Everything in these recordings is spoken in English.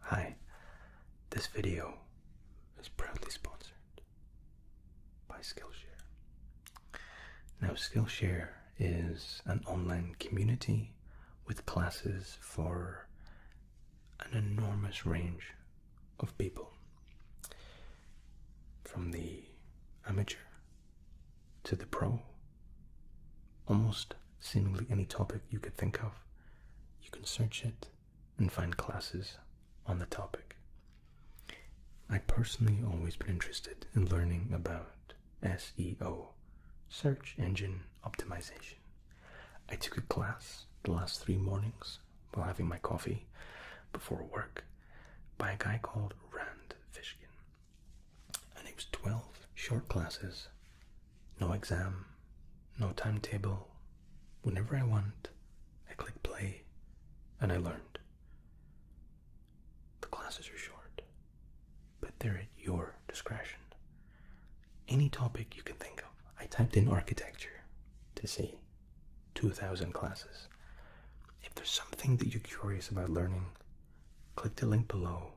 Hi, this video is proudly sponsored by Skillshare. Now, Skillshare is an online community with classes for an enormous range of people from the amateur to the pro. Almost seemingly any topic you could think of. You can search it and find classes on the topic. I personally always been interested in learning about SEO, search engine optimization. I took a class the last three mornings while having my coffee before work by a guy called Rand Fishkin. And it was 12 short classes no exam, no timetable. Whenever I want, I click play and I learned. The classes are short, but they're at your discretion. Any topic you can think of. I typed in architecture to see 2,000 classes. If there's something that you're curious about learning, click the link below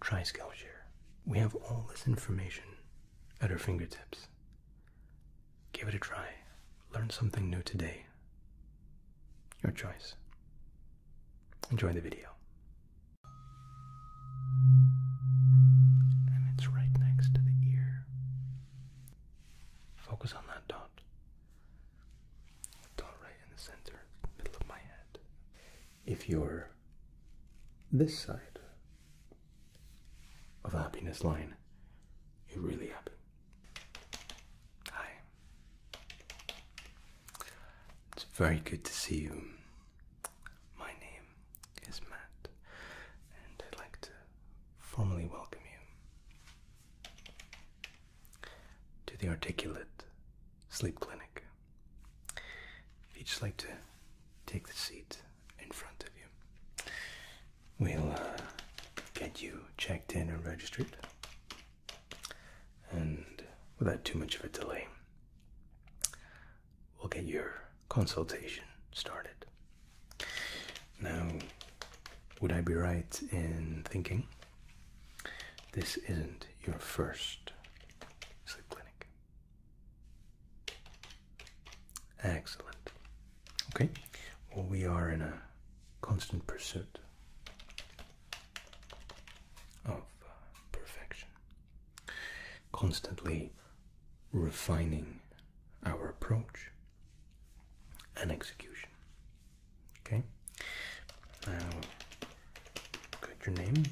Try Skillshare. We have all this information at our fingertips. Give it a try. Learn something new today. Your choice. Enjoy the video. And it's right next to the ear. Focus on that dot. Dot right in the center, middle of my head if you're this side of happiness line, you're really happy. Hi. It's very good to see you. My name is Matt, and I'd like to formally welcome you to the Articulate Sleep Clinic. If you'd just like to take the seat in front of you, we'll uh, get you checked in and registered. And without too much of a delay, we'll get your consultation started. Now, would I be right in thinking this isn't your first sleep clinic? Excellent. Okay, well, we are in a constant pursuit of uh, perfection, constantly refining our approach and execution. Okay, now got your name.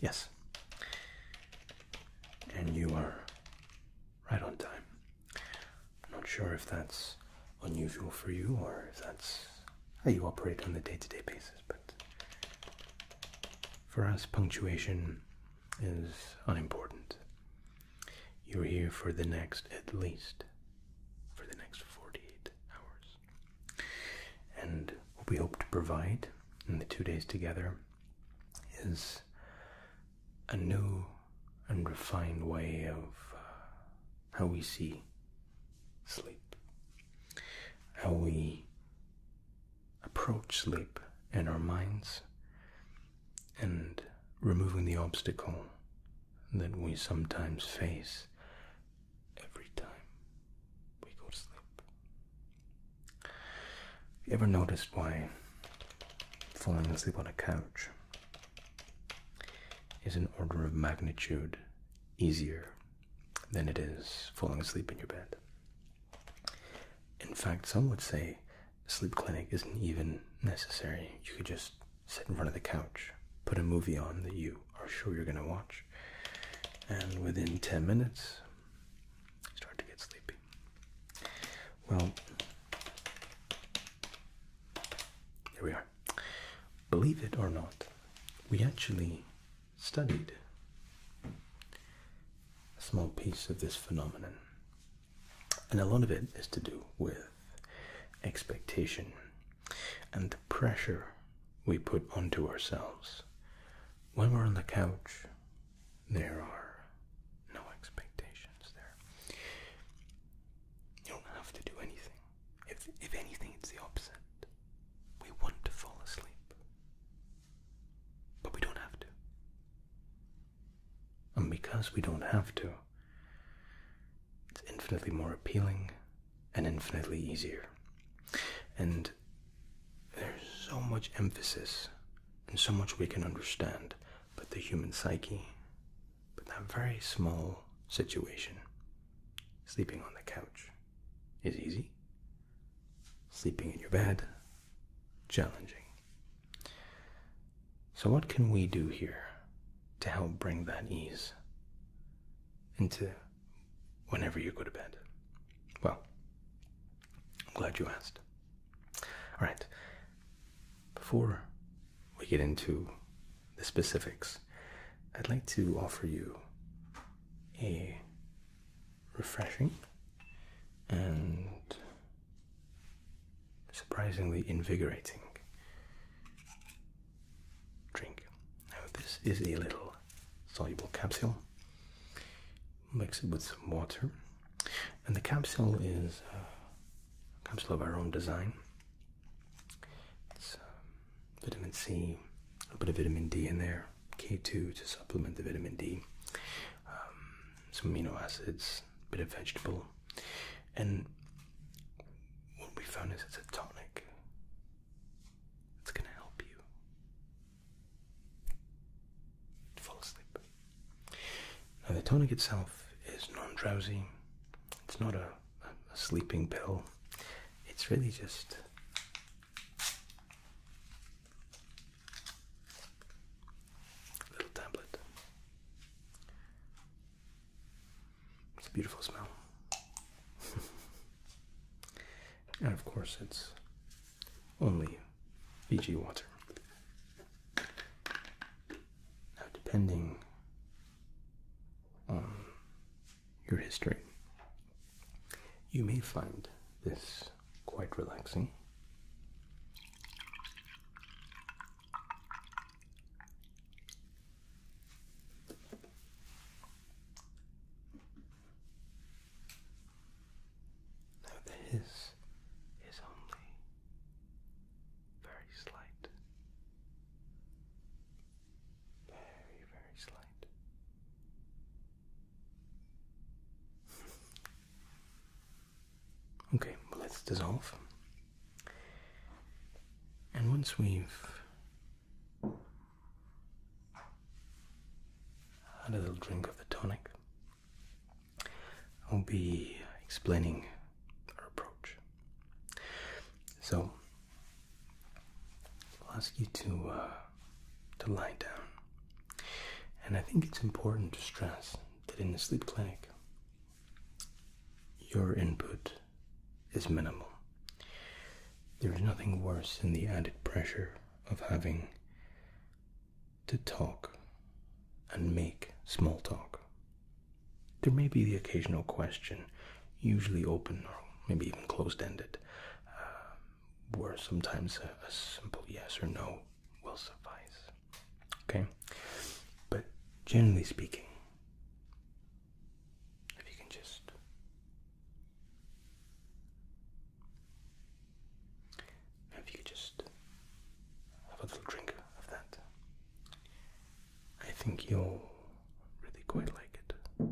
Yes. And you are right on time. I'm not sure if that's unusual for you or if that's how you operate on a day to day basis, but for us, punctuation is unimportant. You're here for the next, at least, for the next 48 hours. And what we hope to provide in the two days together is a new and refined way of uh, how we see sleep, how we approach sleep in our minds, and removing the obstacle that we sometimes face every time we go to sleep. You ever noticed why falling asleep on a couch is an order of magnitude easier than it is falling asleep in your bed? In fact, some would say sleep clinic isn't even necessary. You could just sit in front of the couch, put a movie on that you are sure you're going to watch, and within 10 minutes, start to get sleepy. Well, here we are. Believe it or not, we actually studied a small piece of this phenomenon. And a lot of it is to do with expectation and the pressure we put onto ourselves. When we're on the couch, there are no expectations there. You don't have to do anything. If, if anything, it's the opposite. We want to fall asleep, but we don't have to. And because we don't have to, it's infinitely more appealing and infinitely easier. And there's so much emphasis and so much we can understand but the human psyche but that very small situation sleeping on the couch is easy sleeping in your bed challenging so what can we do here to help bring that ease into whenever you go to bed? Well, I'm glad you asked. All right, before we get into the specifics, I'd like to offer you a refreshing and surprisingly invigorating drink. Now, this is a little soluble capsule, mix it with some water, and the capsule is uh, a capsule of our own design. It's um, vitamin C, a bit of vitamin D in there, K2 to supplement the vitamin D, um, some amino acids, a bit of vegetable, and what we found is it's a tonic. It's gonna help you fall asleep. Now, the tonic itself is non drowsy, it's not a, sleeping pill, it's really just a little tablet. It's a beautiful smell. And of course, it's only Fiji water. Now, depending on your history, you may find this quite relaxing. Now the is only very slight. Very, very slight. okay, let's dissolve. And once we've a little drink of the tonic. I'll be explaining our approach. So I'll ask you to uh, to lie down, and I think it's important to stress that in the sleep clinic, your input is minimal. There is nothing worse than the added pressure of having to talk and make small talk. There may be the occasional question, usually open or maybe even closed ended, uh, where sometimes a, a simple yes or no will suffice. Okay? But generally speaking, if you can just if you just have a little drink of that, I think you'll really quite like it.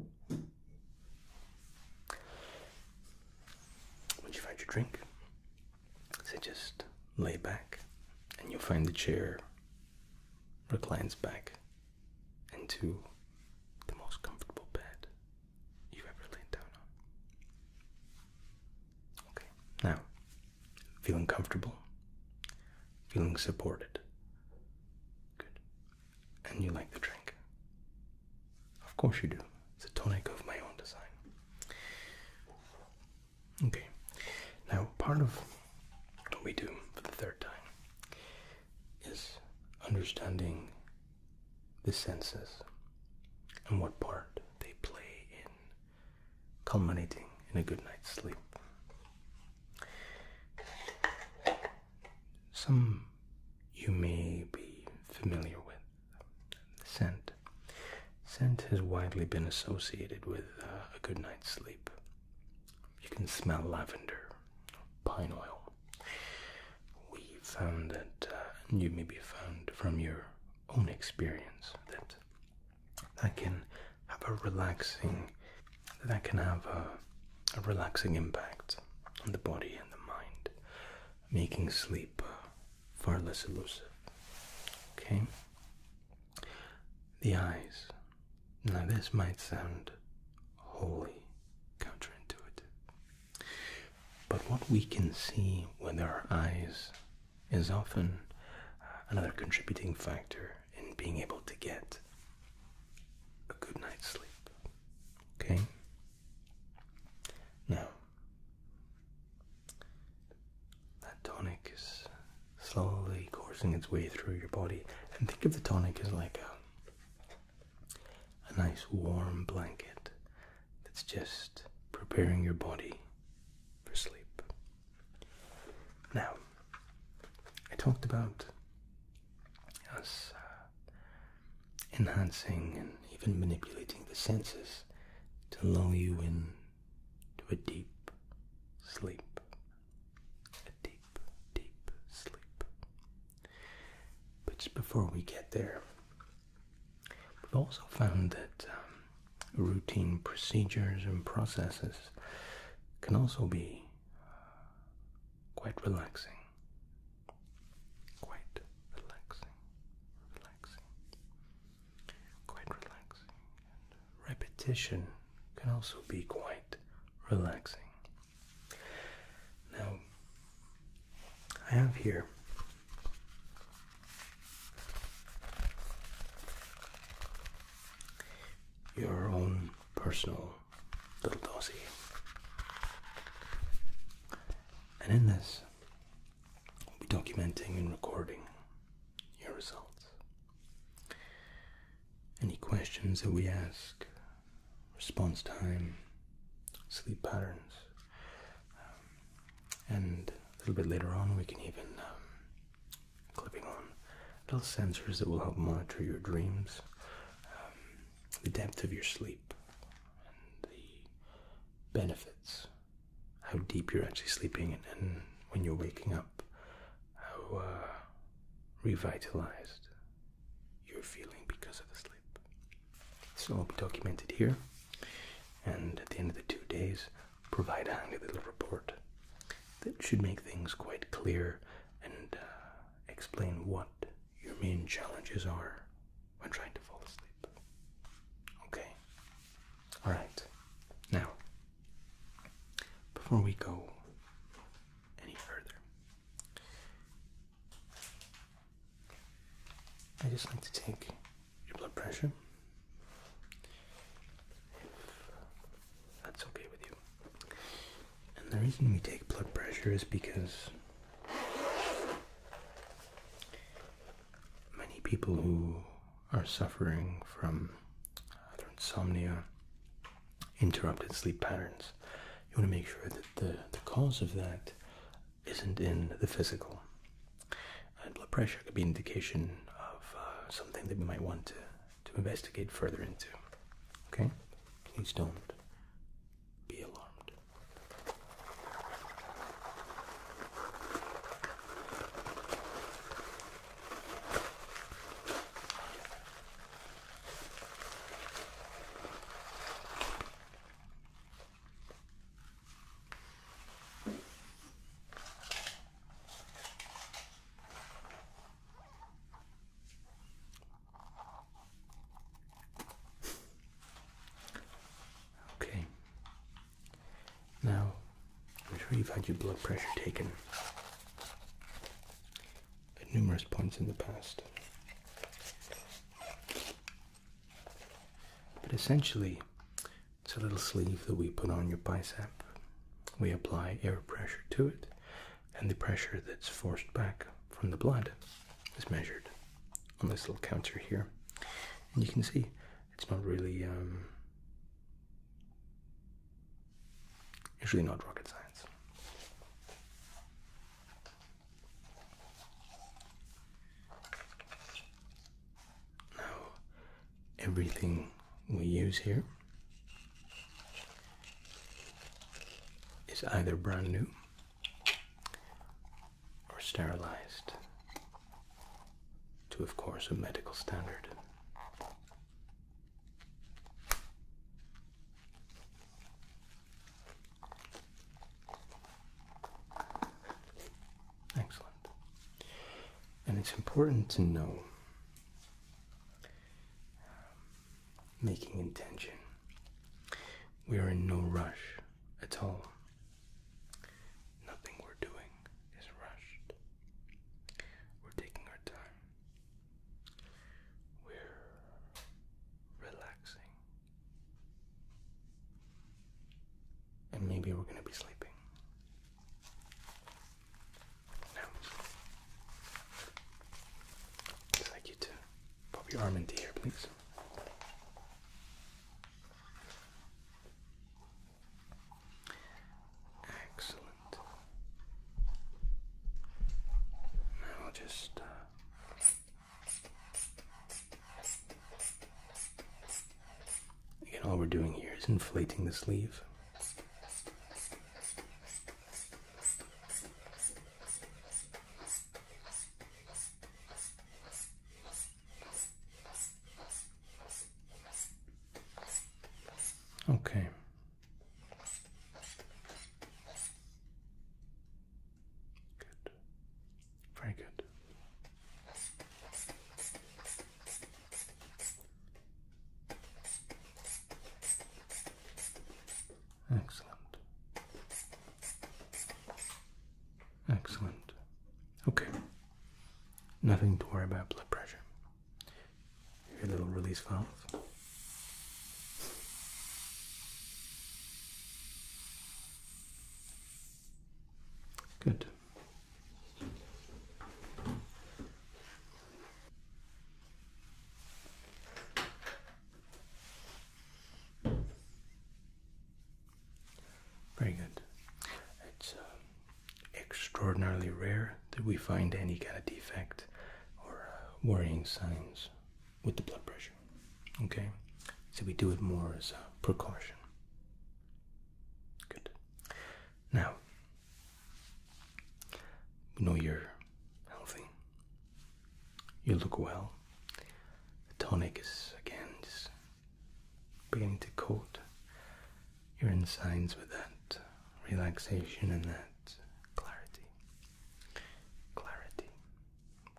Once you find your drink, so just lay back, and you'll find the chair reclines back into the most comfortable bed you ever leaned down Okay, now, feeling comfortable, feeling supported. Good. And you like the drink? Of course you do. It's a tonic of my own design. Okay, now part of what we do for the third time is understanding the senses and what part they play in culminating in a good night's sleep. Some you may be familiar with. Scent. Scent has widely been associated with uh, a good night's sleep. You can smell lavender, pine oil, we found that uh, you be found from your own experience that that can have a relaxing that can have a, relaxing impact on the body and the mind, making sleep uh, far less elusive. Okay. The eyes. Now, this might sound wholly counterintuitive, but what we can see with our eyes is often uh, another contributing factor in being able to get a good night's sleep. Okay? Now, that tonic is slowly coursing its way through your body, and think of the tonic as like a a nice warm blanket that's just preparing your body for sleep. Now, I talked about us uh, enhancing and even manipulating the senses to lure you in to a deep sleep. A deep, deep sleep. But just before we get there, we've also found that um, routine procedures and processes can also be uh, quite relaxing. Quite relaxing, relaxing, quite relaxing. repetition can also be quite relaxing. Now, I have here your own personal little dossier. And in this, we are documenting and recording your results. Any questions that we ask response time, sleep patterns, um, and a little bit later on, we can even um, clipping on little sensors that will help monitor your dreams, um, the depth of your sleep, and the benefits, how deep you're actually sleeping, and, when you're waking up, how uh, revitalized you're feeling because of the sleep. So i will be documented here, and at the end of the two days, provide a little report that should make things quite clear and uh, explain what your main challenges are when trying to fall asleep. Okay? Alright. Now, before we go any further, I just like to take your blood pressure. that's okay with you. And the reason we take blood pressure is because many people who are suffering from either insomnia, interrupted sleep patterns, you want to make sure that the, the cause of that isn't in the physical. And blood pressure could be indication of uh, something that we might want to, to investigate further into. Okay? Please don't be alarmed. Okay. Now, I'm sure you've had your blood pressure taken at numerous points in the past. But essentially, it's a little sleeve that we put on your bicep. We apply air pressure to it, and the pressure that's forced back from the blood is measured on this little counter here. And you can see it's not really, um, usually not rocket science. Now, everything we use here is either brand new or sterilized to, of course, a medical standard. Excellent. And it's important to know um, making intention. We are in no rush at all. Nothing we're doing is rushed. We're taking our time. We're relaxing and maybe we're going to be sleeping. No. I'd like you to pop your arm into here, please. Excellent. Now I'll just uh, Again, all we're doing here is inflating the sleeve. Okay. Good. Very good. Excellent. Excellent. Okay. Nothing to worry about blood pressure. Your little release valve. Good. Very good. It's uh, extraordinarily rare that we find any kind of defect or uh, worrying signs with the blood pressure. Okay? So we do it more as a precaution. Good. Now, we know you're healthy. You look well. The tonic is again just beginning to coat your insides with that relaxation and that clarity. Clarity.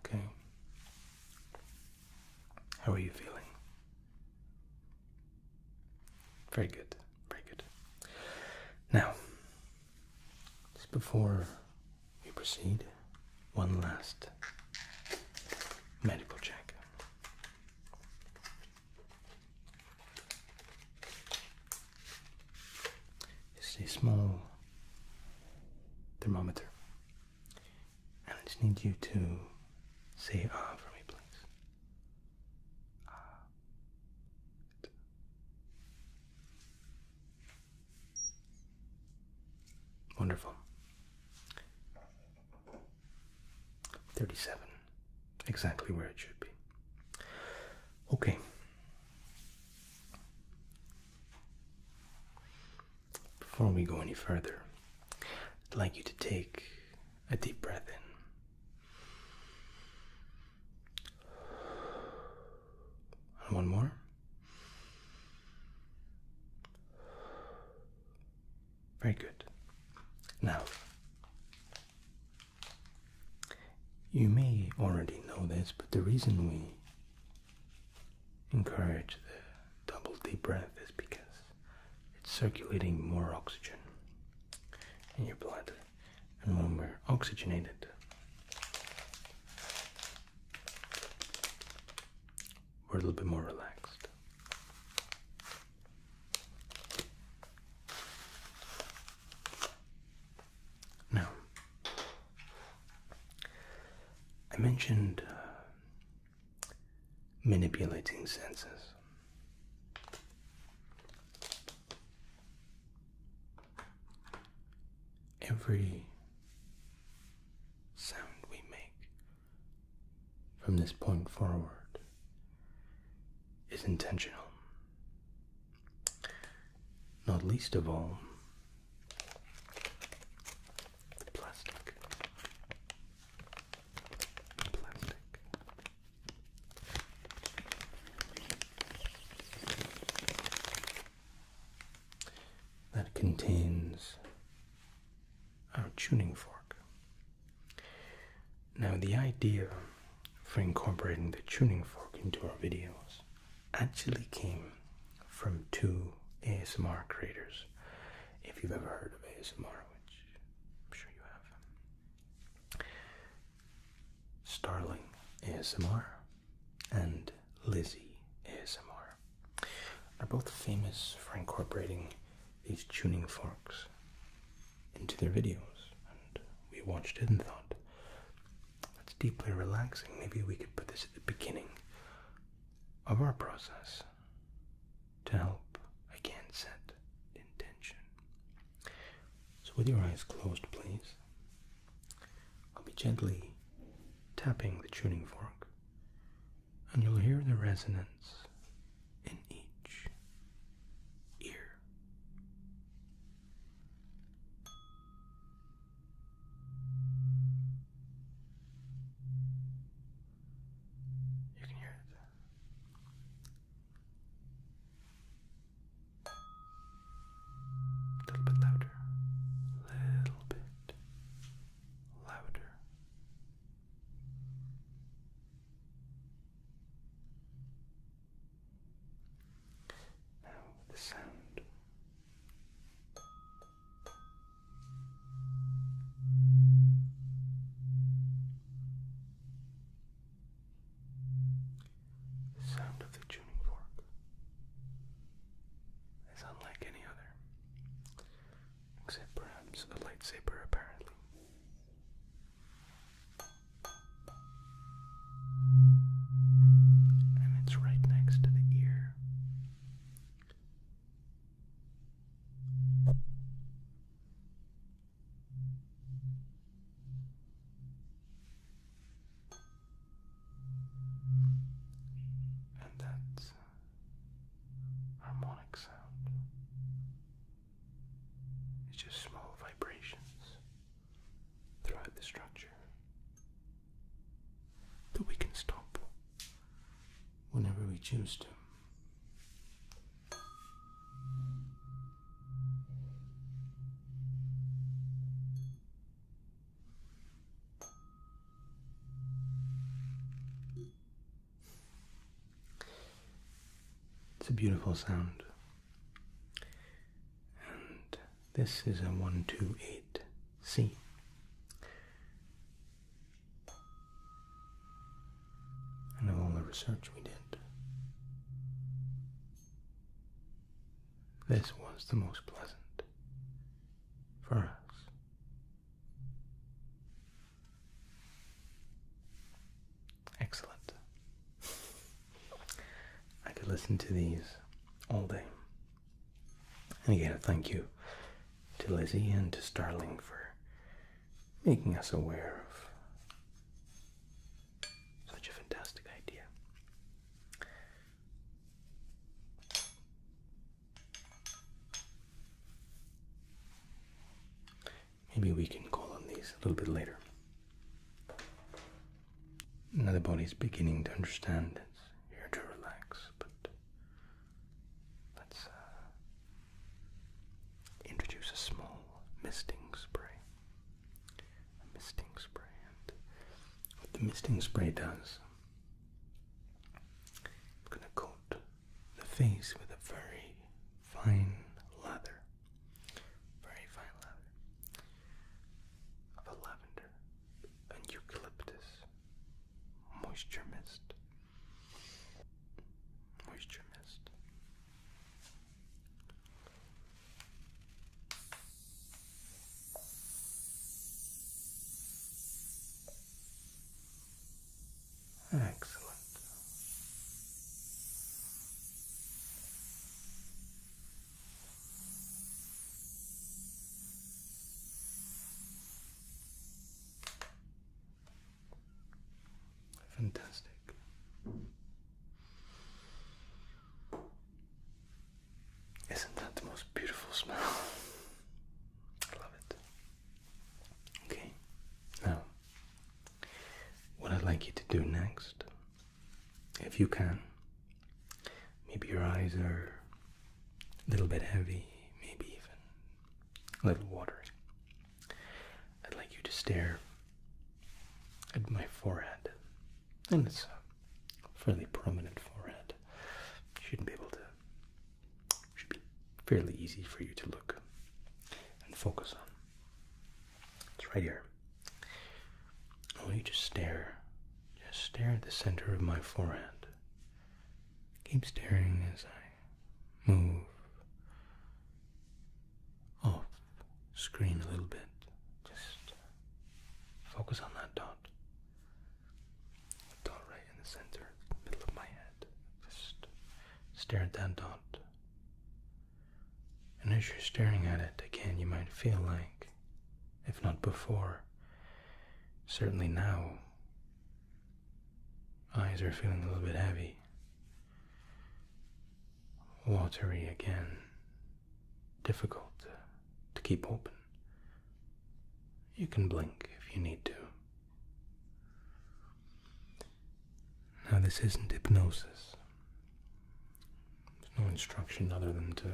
Okay. How are you feeling? Very good, very good. Now, just before we proceed, one last medical check is a small thermometer. And I just need you to say ah for me, please. Ah. Wonderful. 37. Exactly where it should be. Okay. Before we go any further, I'd like you to take a deep breath in. one more. Very good. Now, you may already know this, but the reason we encourage the double deep breath is because it's circulating more oxygen in your blood. And when we're oxygenated, we're a little bit more relaxed. Now, I mentioned uh, manipulating senses. Every sound we make from this point forward is intentional. Not least of all, plastic. Plastic. That contains our tuning fork. Now, the idea for incorporating the tuning fork into our videos actually came from two ASMR creators. If you've ever heard of ASMR, which I'm sure you have, Starling ASMR and Lizzie ASMR are both famous for incorporating these tuning forks into their videos, and we watched it and thought, that's deeply relaxing. Maybe we could put this at the beginning of our process to help again set intention. So, with your eyes closed, please, I'll be gently tapping the tuning fork, and you'll hear the resonance in each ear. You can hear it. A little bit louder. A little bit louder. Now the sound Sound of the tuning fork is unlike any other, except perhaps a lightsaber, apparently and it's right next to the ear. And that's harmonic sound. It's just small vibrations throughout the structure that we can stop whenever we choose to. It's a beautiful sound and this is a 128C. And of all the research we did, this was the most pleasant for us. Excellent. I could listen to these all day. And again, thank you to Lizzie and to Starling for making us aware of such a fantastic idea. Maybe we can call on these a little bit later. Now the body is beginning to understand it's here to relax, but let's uh, introduce a small misting spray. misting spray, and what the misting spray does, I'm going to coat the face with a very fine lather, very fine lather of a lavender and eucalyptus. Moisture mist. Moisture mist. Excellent. Fantastic. Isn't that the most beautiful smell? I love it. Okay, now, what I'd like you to do next, if you can, Maybe your eyes are a little bit heavy, maybe even a little watery. I'd like you to stare at my forehead, and it's a fairly prominent forehead. You shouldn't be able to. Should be fairly easy for you to look and focus on. It's right here. I want you to stare just stare at the center of my forehead. Keep staring as I move off screen a little bit. Just focus on that dot. Dot right in the center, middle of my head. Just stare at that dot. And as you're staring at it again, you might feel like if not before. Certainly now. Eyes are feeling a little bit heavy, watery again, difficult to keep open. You can blink if you need to. Now, this isn't hypnosis. There's no instruction other than to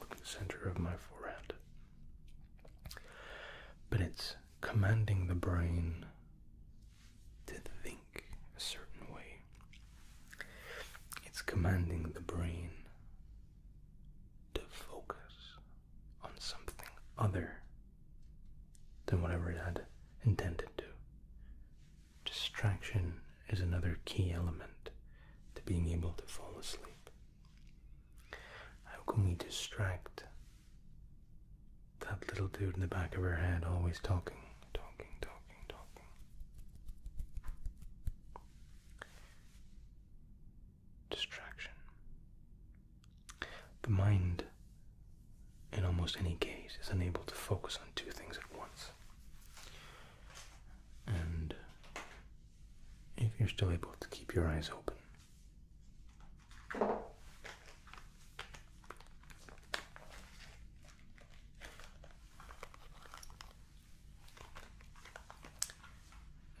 look at the center of my forehead. But it's commanding the brain to think a certain way. It's commanding the brain to focus on something other than whatever it had intended to. Distraction is another key element to being able to fall asleep? How can we distract that little dude in the back of her head always talking, talking, talking, talking? Distraction. The mind, in almost any case, is unable to focus on two things at once and if you're still able to keep your eyes open.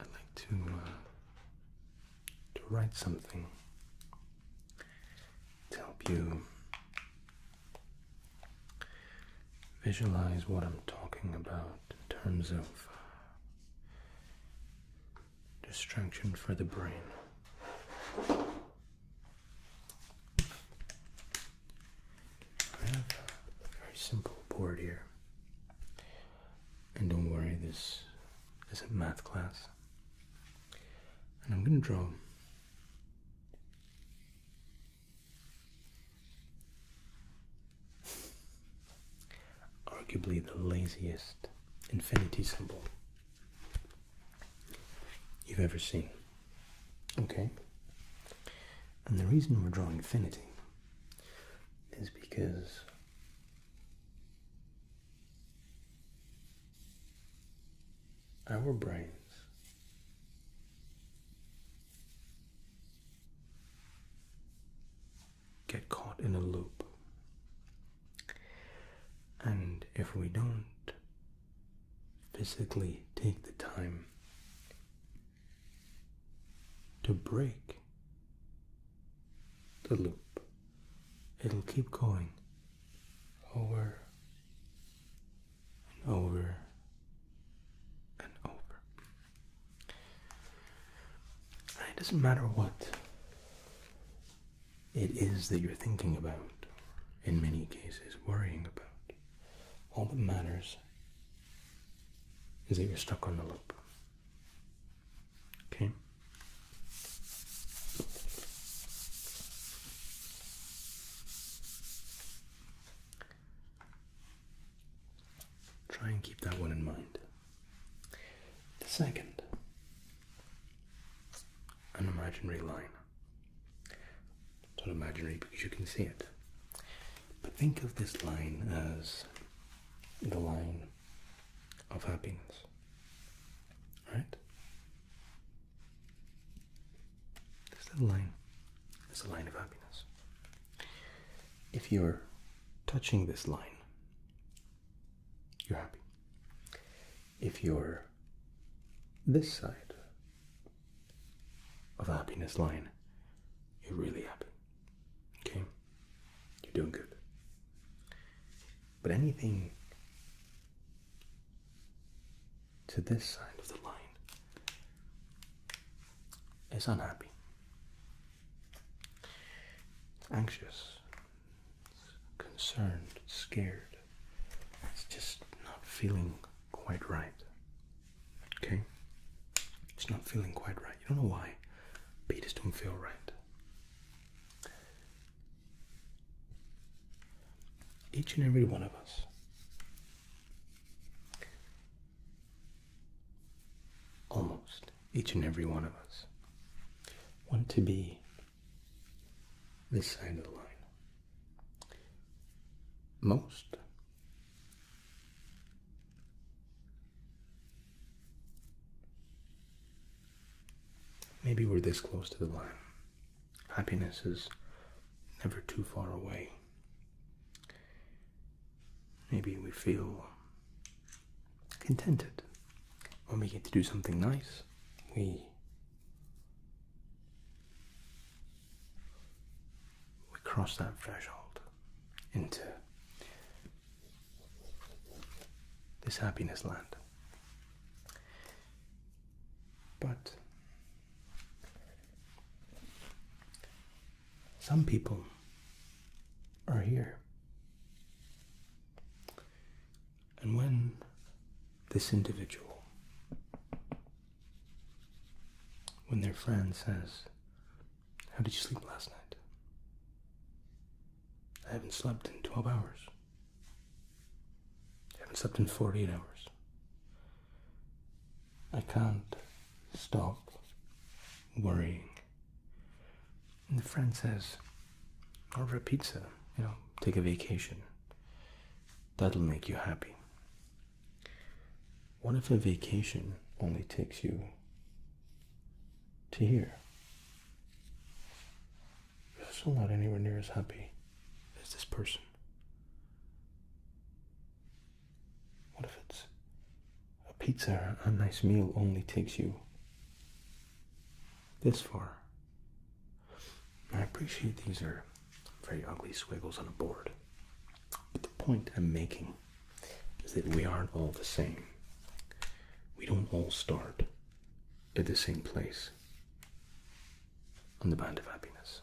I'd like to uh, to write something to help you visualize what I'm talking about in terms of uh, distraction for the brain. I have a very simple board here. And don't worry, this isn't math class. And I'm going to draw Arguably the laziest infinity symbol you've ever seen. Okay? And the reason we're drawing infinity is because our brains get caught in a loop. And if we don't physically take the time to break the loop, it'll keep going Over and over and over. it doesn't matter what it is that you're thinking about, in many cases, worrying about. All that matters is that you're stuck on the loop. Okay? Try and keep that one in mind. The second, an imaginary line. It's not imaginary because you can see it. But think of this line as the line of happiness. Right? This little line is a line of happiness. If you're touching this line, you're happy. If you're this side of happiness line, you're really happy. Okay? You're doing good. But anything to this side of the line it's unhappy. It's anxious. It's concerned. It's scared. It's just not feeling quite right. Okay? It's not feeling quite right. You don't know why. But don't feel right. Each and every one of us almost each and every one of us want to be this side of the line. Most maybe we're this close to the line. Happiness is never too far away. Maybe we feel contented when we get to do something nice. We we cross that threshold into this happiness land. But some people are here. And when this individual, when their friend says, How did you sleep last night? I haven't slept in 12 hours. I haven't slept in 48 hours. I can't stop worrying. And the friend says, order a pizza, you know, take a vacation. That'll make you happy. What if a vacation only takes you to here? You're still not anywhere near as happy as this person. What if it's a pizza, a nice meal only takes you this far? I appreciate these are very ugly swiggles on a board, but the point I'm making is that we aren't all the same. We don't all start at the same place on the band of happiness.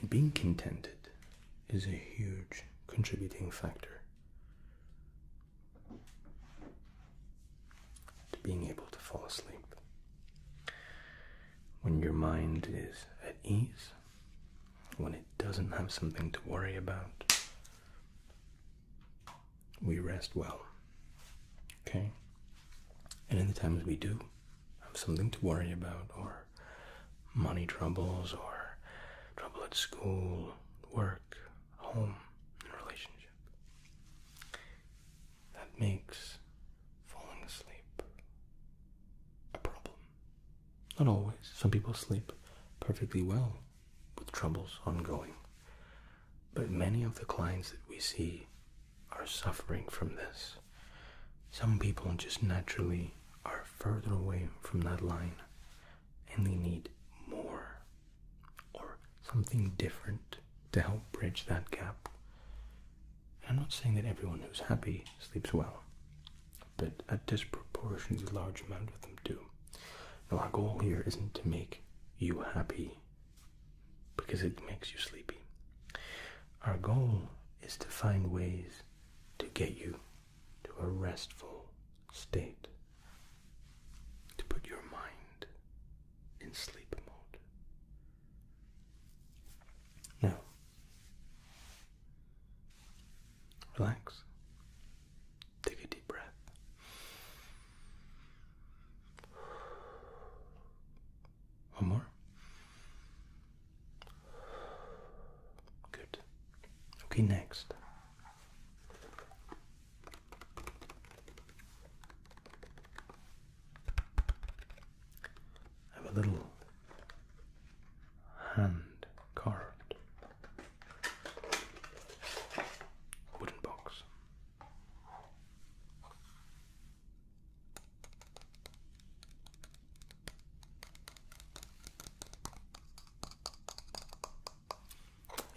And being contented is a huge contributing factor to being able to fall asleep. When your mind is at ease, when it doesn't have something to worry about, we rest well. Okay? And in the times we do have something to worry about or money troubles or trouble at school, work, home, and relationship. That makes falling asleep a problem. Not always. Some people sleep perfectly well with troubles ongoing. But many of the clients that we see are suffering from this. Some people just naturally are further away from that line and they need more or something different to help bridge that gap. I'm not saying that everyone who's happy sleeps well, but a disproportionately large amount of them do. Now, our goal here isn't to make you happy because it makes you sleepy. Our goal is to find ways to get you to a restful state, to put your mind in sleep mode. Now, relax, take a deep breath. One more. Good. Okay, next. I have a little hand carved wooden box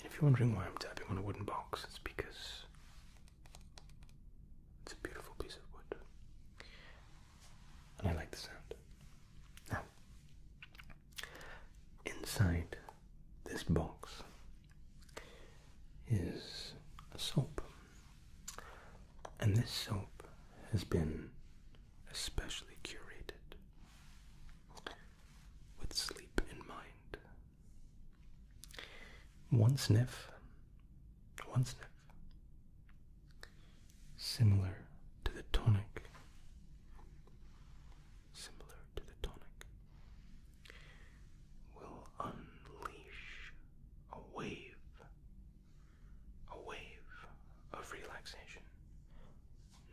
if you're wondering why I'm tapping on a wooden box, it's because it's a beautiful piece of wood. And I like the sound. inside this box is a soap. And this soap has been especially curated with sleep in mind. One sniff, one sniff, similar to the tonic, similar to the tonic, will unleash a wave a wave of relaxation,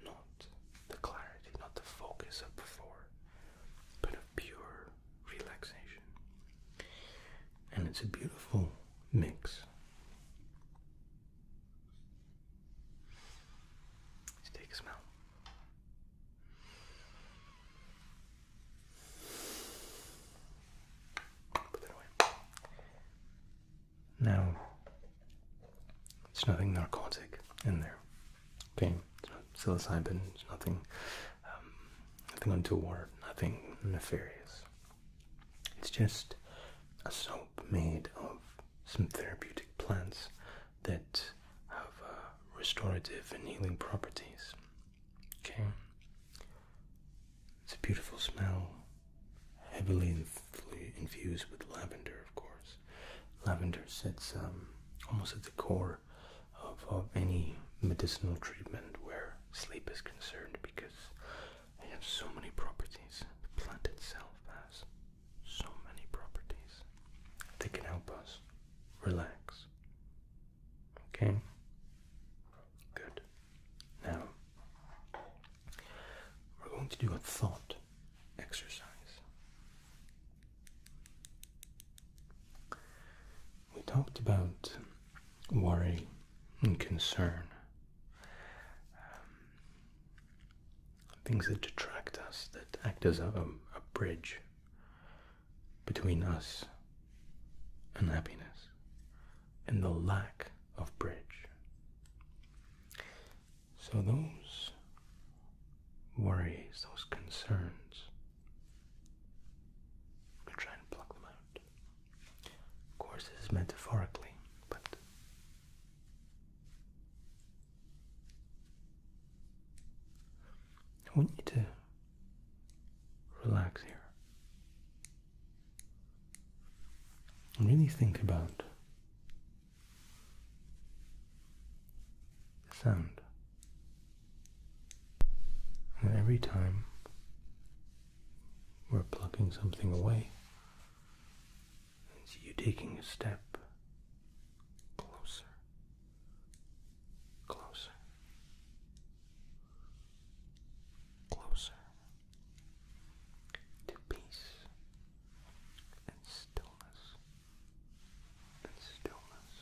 not the clarity, not the focus of before, but of pure relaxation. And it's a beautiful mix. Let's take a smell. Now, there's nothing narcotic in there. Okay, it's not psilocybin. It's nothing, um, nothing untoward. Nothing nefarious. It's just a soap made of some therapeutic plants that have uh, restorative and healing properties. Okay. It's a beautiful smell, heavily infused with lavender, of course. Lavender sits um, almost at the core of, of any medicinal treatment where sleep is concerned because it has so many properties. The plant itself has so many properties. They can help us relax, Okay? Good. Now, we're going to do a thought exercise. We talked about worry and concern, um, things that detract us, that act as a bridge between us and happiness and the lack of bridge. So, those worries, those concerns, I'm going to try and pluck them out. Of course, this is metaphorically, but. I want you to relax here. Really think about the sound. And every time we're plucking something away, it's you taking a step closer, closer, closer to peace and stillness and stillness.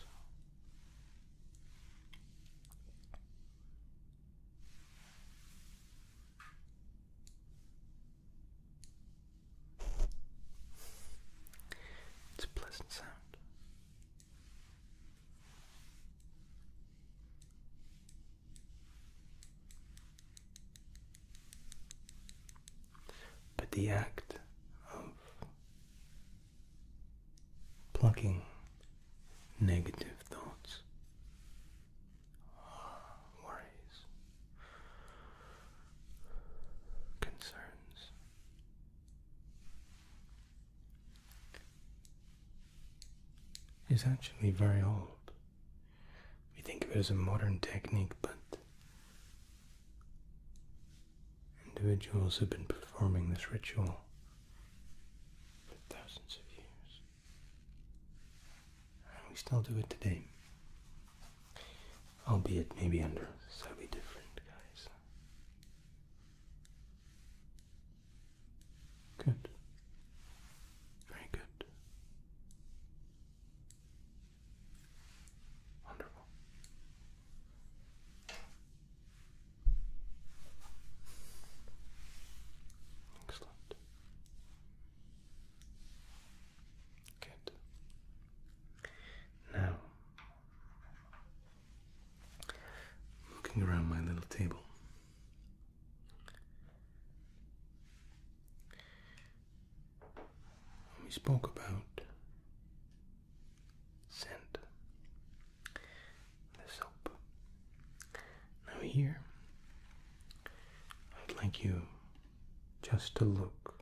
It's a pleasant sound. But the act of plucking negative thoughts, worries, concerns is actually very old. We think of it as a modern technique, but individuals have been performing this ritual for thousands of years. And we still do it today. Albeit maybe under slightly different guise. Good. Very good. Wonderful. Excellent. Good. Now, looking around my little table, we spoke about scent, the soap. Now, here, I'd like you just to look.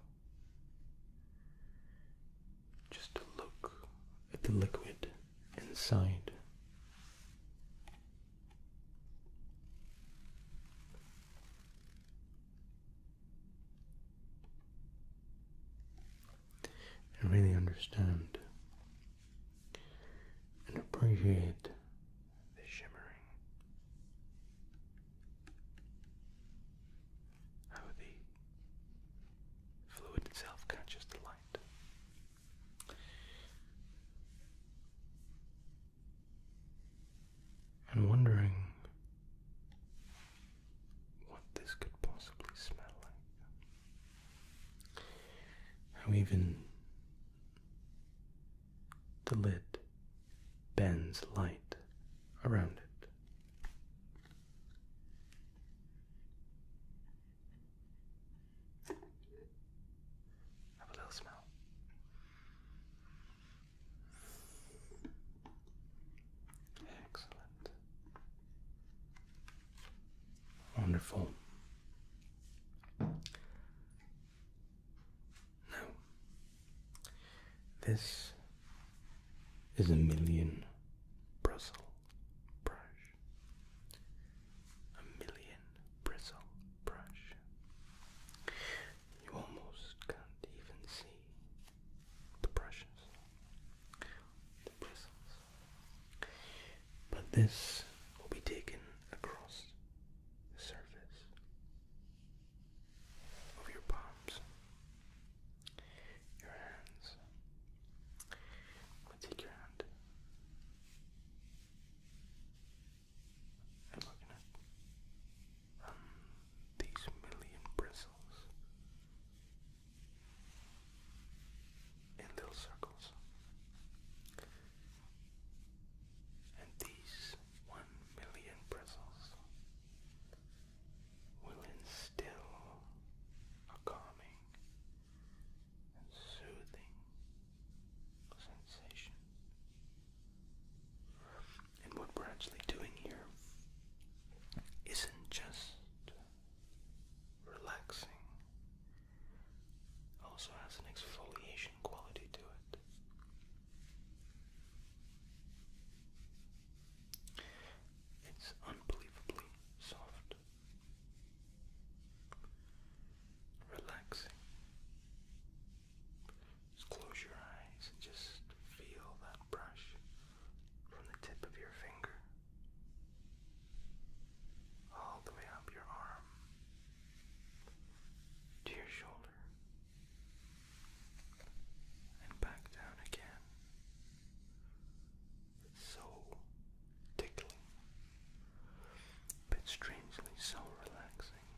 Just to look at the liquid inside. And really understand and appreciate the shimmering. How the fluid itself catches the light and wondering what this could possibly smell like. How even the lid bends light around it. Have a little smell. Excellent. Wonderful. Now, this is a million Brussels brush, a million bristle brush. You almost can't even see the brushes, the bristles. But this will be taken across the surface of your palms, your hands. I'm take your hand I'm not going um, these million bristles in little circles. And these one million bristles will instill a calming and soothing sensation. And what we're actually doing here isn't just relaxing, also has an exfoliation quality to it. It's unbelievably soft. Relax. Just close your eyes and just feel that brush from the tip of your finger all the way up your arm to your shoulder and back down again so tickling, but strangely so relaxing.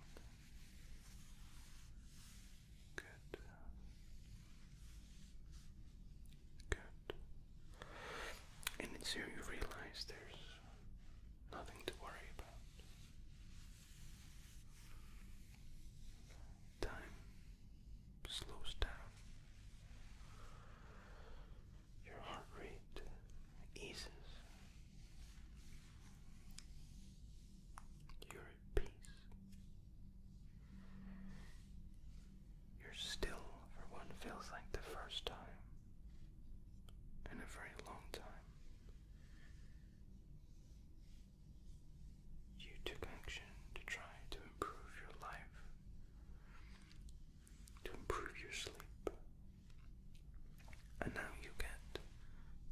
Good. Good. And it's here you realize there's nothing to worry about. Time slows down your heart rate eases. You're at peace. You're still for one feels like the first time in a very long time. You took action to try to improve your life to improve your sleep. And now you get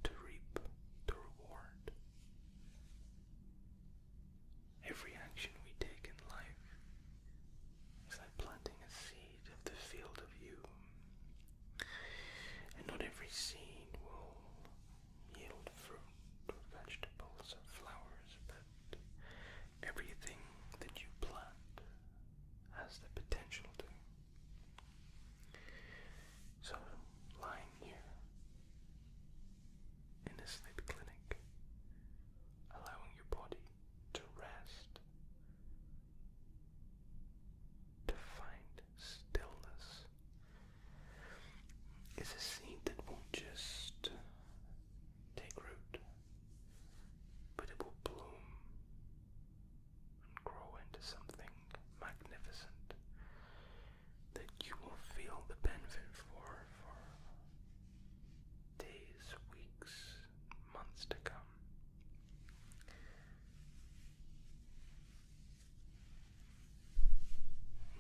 to reap the reward. Every action we take in life is like planting a seed of the field of you. And not every seed will yield fruit vegetables or flowers, but Everything that you plant has the potential to. So, lying here in a sleep clinic, allowing your body to rest, to find stillness, is a seed that won't just take root but it will bloom and grow into something magnificent that you will feel the benefit for for days, weeks, months to come.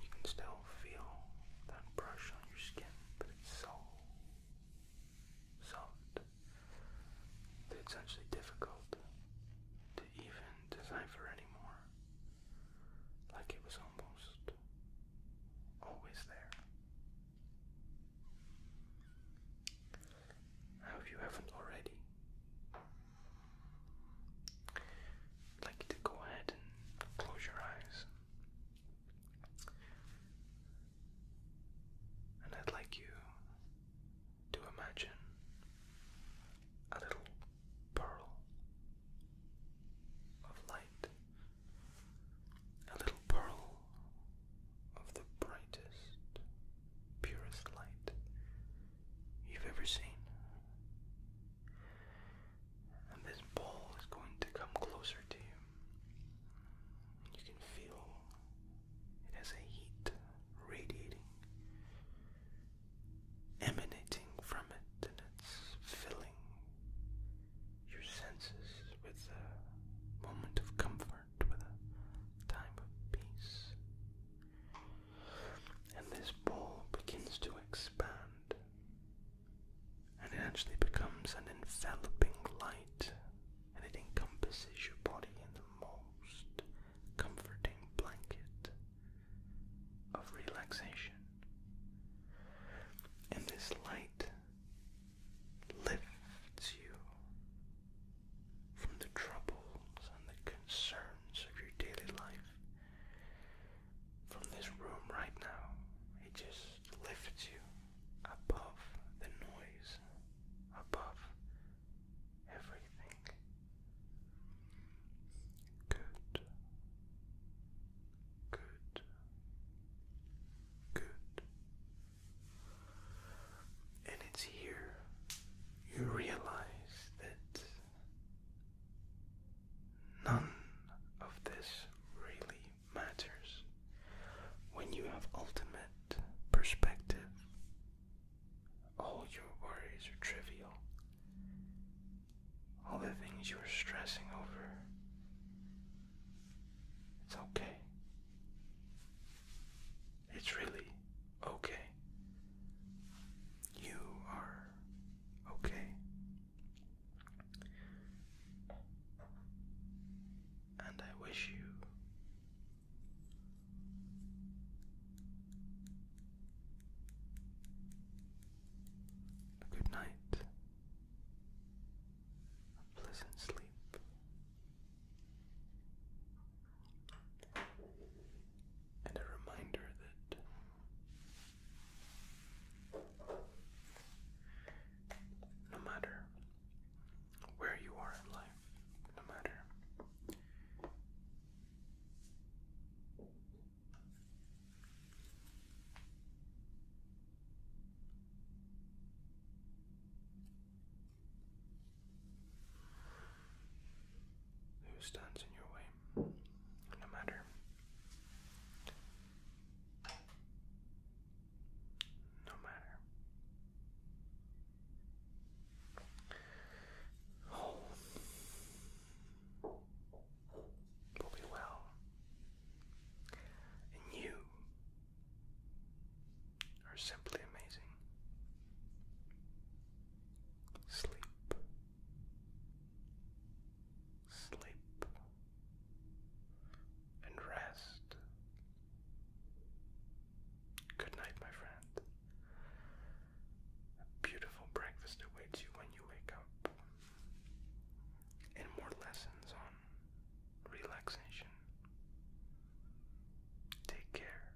You can still feel that brush on your skin, but it's so soft. It's actually difficult to even decipher anymore. Like it was almost always there. I you haven't already. like to go ahead and close your eyes. And I'd like you to imagine a little pearl of light, a little pearl of the brightest, purest light you've ever seen. And this ball is going to come closer to you. You can feel it has a heat radiating, emanating from it, and it's filling your senses with a moment of comfort, with a time of peace. And this ball begins to expand and it actually becomes an enveloping light and it encompasses your body in the most comforting blanket of relaxation. And this light lifts you from the troubles and the concerns of your daily life. From this room right now, it just lifts you above the noise, above everything. Good. Good. Good. And it's here you realize that none of this really matters. When you have ultimate perspective, all your worries are trivial. All the things you are stressing over, it's okay. It's really okay. You are okay. And I wish you a good night, a pleasant sleep, and a reminder that. No matter where you are in life, no matter who stands in your way, no matter no matter. Whole oh. will be well, and you are simply amazing. Sleep, sleep and rest. Good night, my friend. A beautiful breakfast awaits you when you wake up, and more lessons on relaxation. Take care.